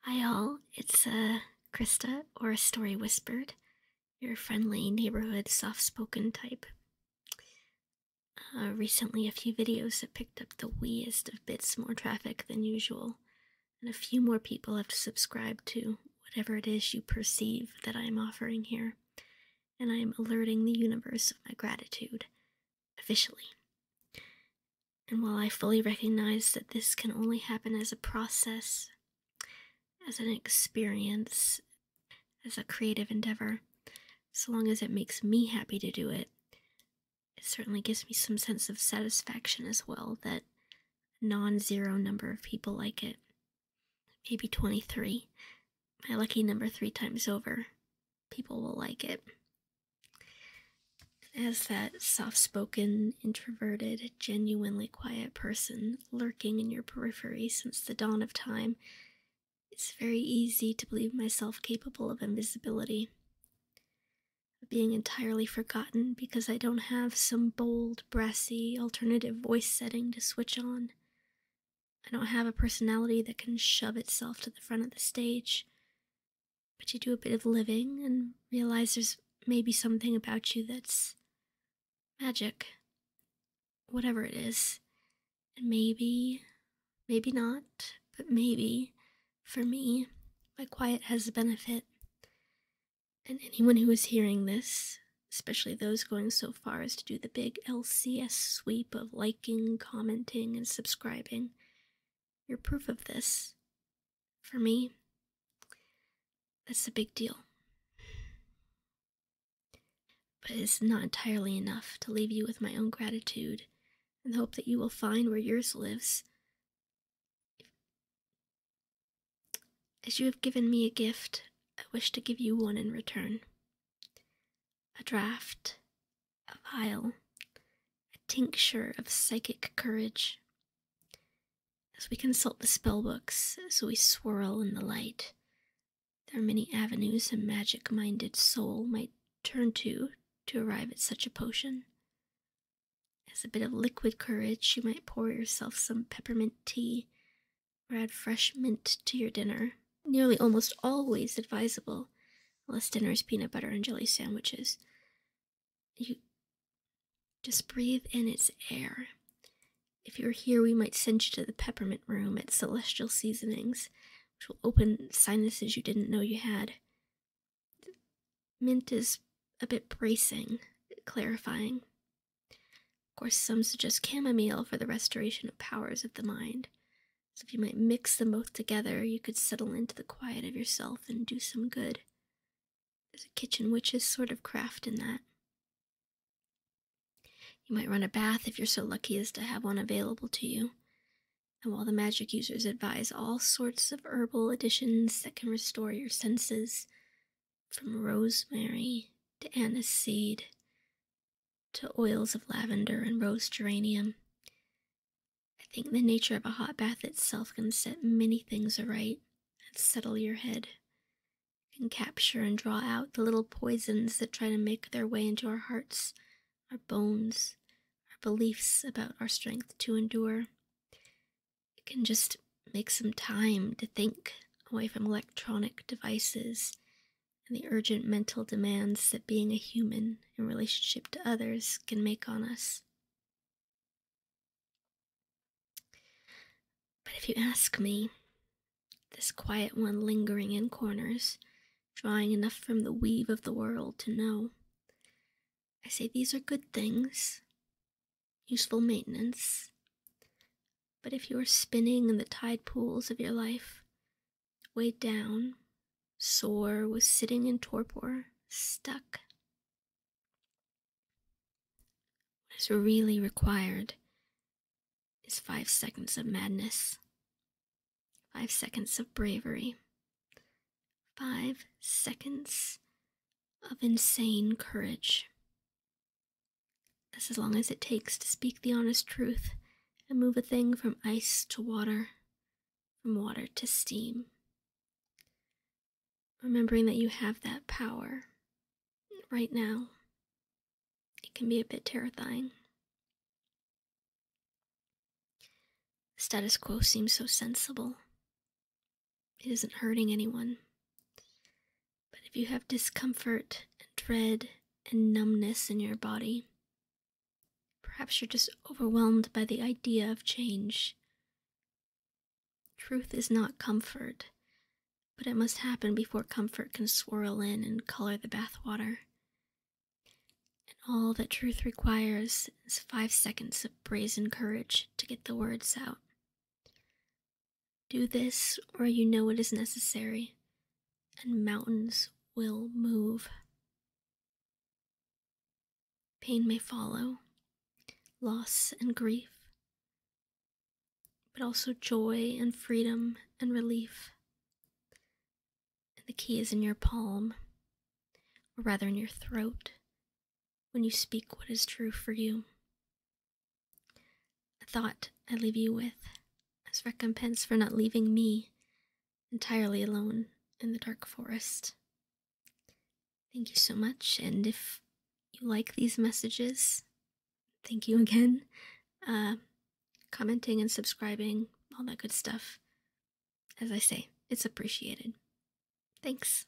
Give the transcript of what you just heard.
Hi, all. It's uh, Krista, or a Story Whispered, your friendly neighborhood soft spoken type. Uh, recently, a few videos have picked up the weeest of bits more traffic than usual, and a few more people have to subscribe to whatever it is you perceive that I am offering here, and I am alerting the universe of my gratitude officially. And while I fully recognize that this can only happen as a process, as an experience, as a creative endeavor, so long as it makes me happy to do it, it certainly gives me some sense of satisfaction as well that non zero number of people like it. Maybe 23, my lucky number three times over people will like it. As that soft spoken, introverted, genuinely quiet person lurking in your periphery since the dawn of time, it's very easy to believe myself capable of invisibility. Of being entirely forgotten because I don't have some bold, brassy, alternative voice setting to switch on. I don't have a personality that can shove itself to the front of the stage but you do a bit of living and realize there's maybe something about you that's magic. Whatever it is. And maybe, maybe not, but maybe, for me, my quiet has a benefit. And anyone who is hearing this, especially those going so far as to do the big LCS sweep of liking, commenting, and subscribing, your proof of this. For me, that's a big deal. But it's not entirely enough to leave you with my own gratitude and hope that you will find where yours lives. As you have given me a gift, I wish to give you one in return a draft a vial, a tincture of psychic courage. As we consult the spell books, as we swirl in the light, there are many avenues a magic minded soul might turn to to arrive at such a potion. As a bit of liquid courage, you might pour yourself some peppermint tea or add fresh mint to your dinner nearly almost always advisable, unless dinner is peanut butter and jelly sandwiches. You just breathe in its air. If you are here, we might send you to the peppermint room at Celestial Seasonings, which will open sinuses you didn't know you had. Mint is a bit bracing, clarifying. Of course, some suggest chamomile for the restoration of powers of the mind. So if you might mix them both together, you could settle into the quiet of yourself and do some good. There's a kitchen witch's sort of craft in that. You might run a bath if you're so lucky as to have one available to you. And while the magic users advise all sorts of herbal additions that can restore your senses, from rosemary to anise seed to oils of lavender and rose geranium. I think the nature of a hot bath itself can set many things aright and settle your head, it can capture and draw out the little poisons that try to make their way into our hearts, our bones, our beliefs about our strength to endure. It can just make some time to think away from electronic devices and the urgent mental demands that being a human in relationship to others can make on us. But if you ask me, this quiet one lingering in corners, drawing enough from the weave of the world to know, I say these are good things, useful maintenance. But if you are spinning in the tide pools of your life, weighed down, sore, was sitting in torpor, stuck. What is really required is five seconds of madness, five seconds of bravery, five seconds of insane courage as long as it takes to speak the honest truth and move a thing from ice to water, from water to steam. Remembering that you have that power right now, it can be a bit terrifying. status quo seems so sensible. It isn't hurting anyone. But if you have discomfort and dread and numbness in your body. Perhaps you're just overwhelmed by the idea of change. Truth is not comfort, but it must happen before comfort can swirl in and color the bathwater. And all that truth requires is five seconds of brazen courage to get the words out. Do this, or you know it is necessary, and mountains will move. Pain may follow, loss and grief, but also joy and freedom and relief. And the key is in your palm, or rather in your throat, when you speak what is true for you. A thought I leave you with as recompense for not leaving me entirely alone in the dark forest. Thank you so much, and if you like these messages, thank you again. Uh, commenting and subscribing, all that good stuff. As I say, it's appreciated. Thanks.